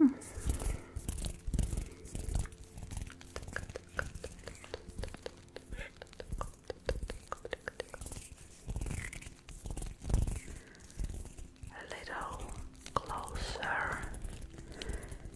Hmm. A little closer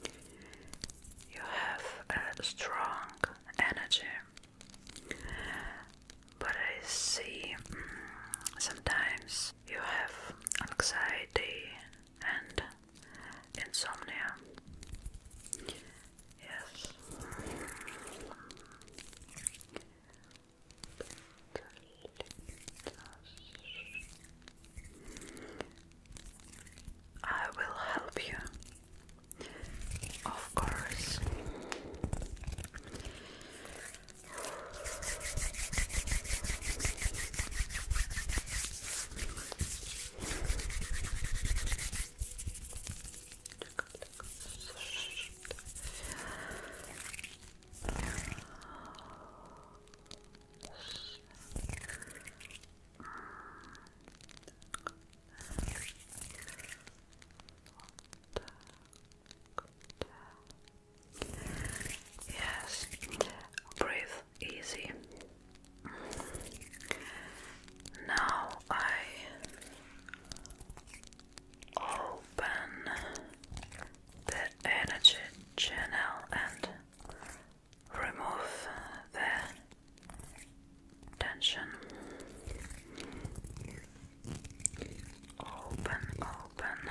Okay. You have a strong energy, but I see mm, sometimes you have anxiety and insomnia. Yes. I will help you, of course. Yes, breathe easy. Now I open the energy channel and remove the tension. Open, open.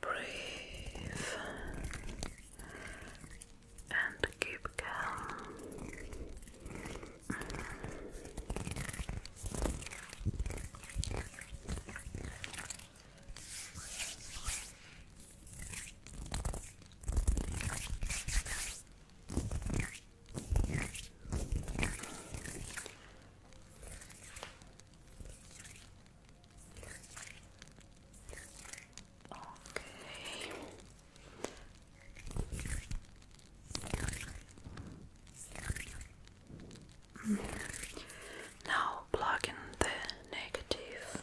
Breathe and keep calm. Okay. Now plug in the negative.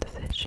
the fish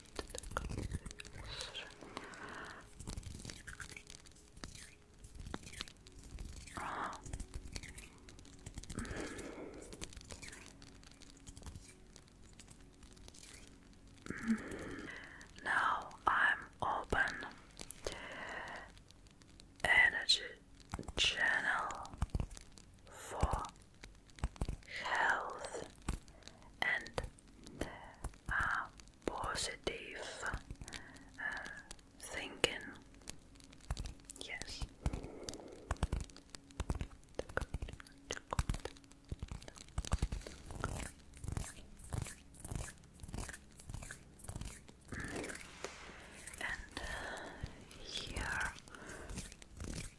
into mm. the Now I'm open energy channel for health and uh, positive uh, thinking. Yes. And uh, here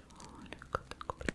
так, хорошенько, так, солнышко,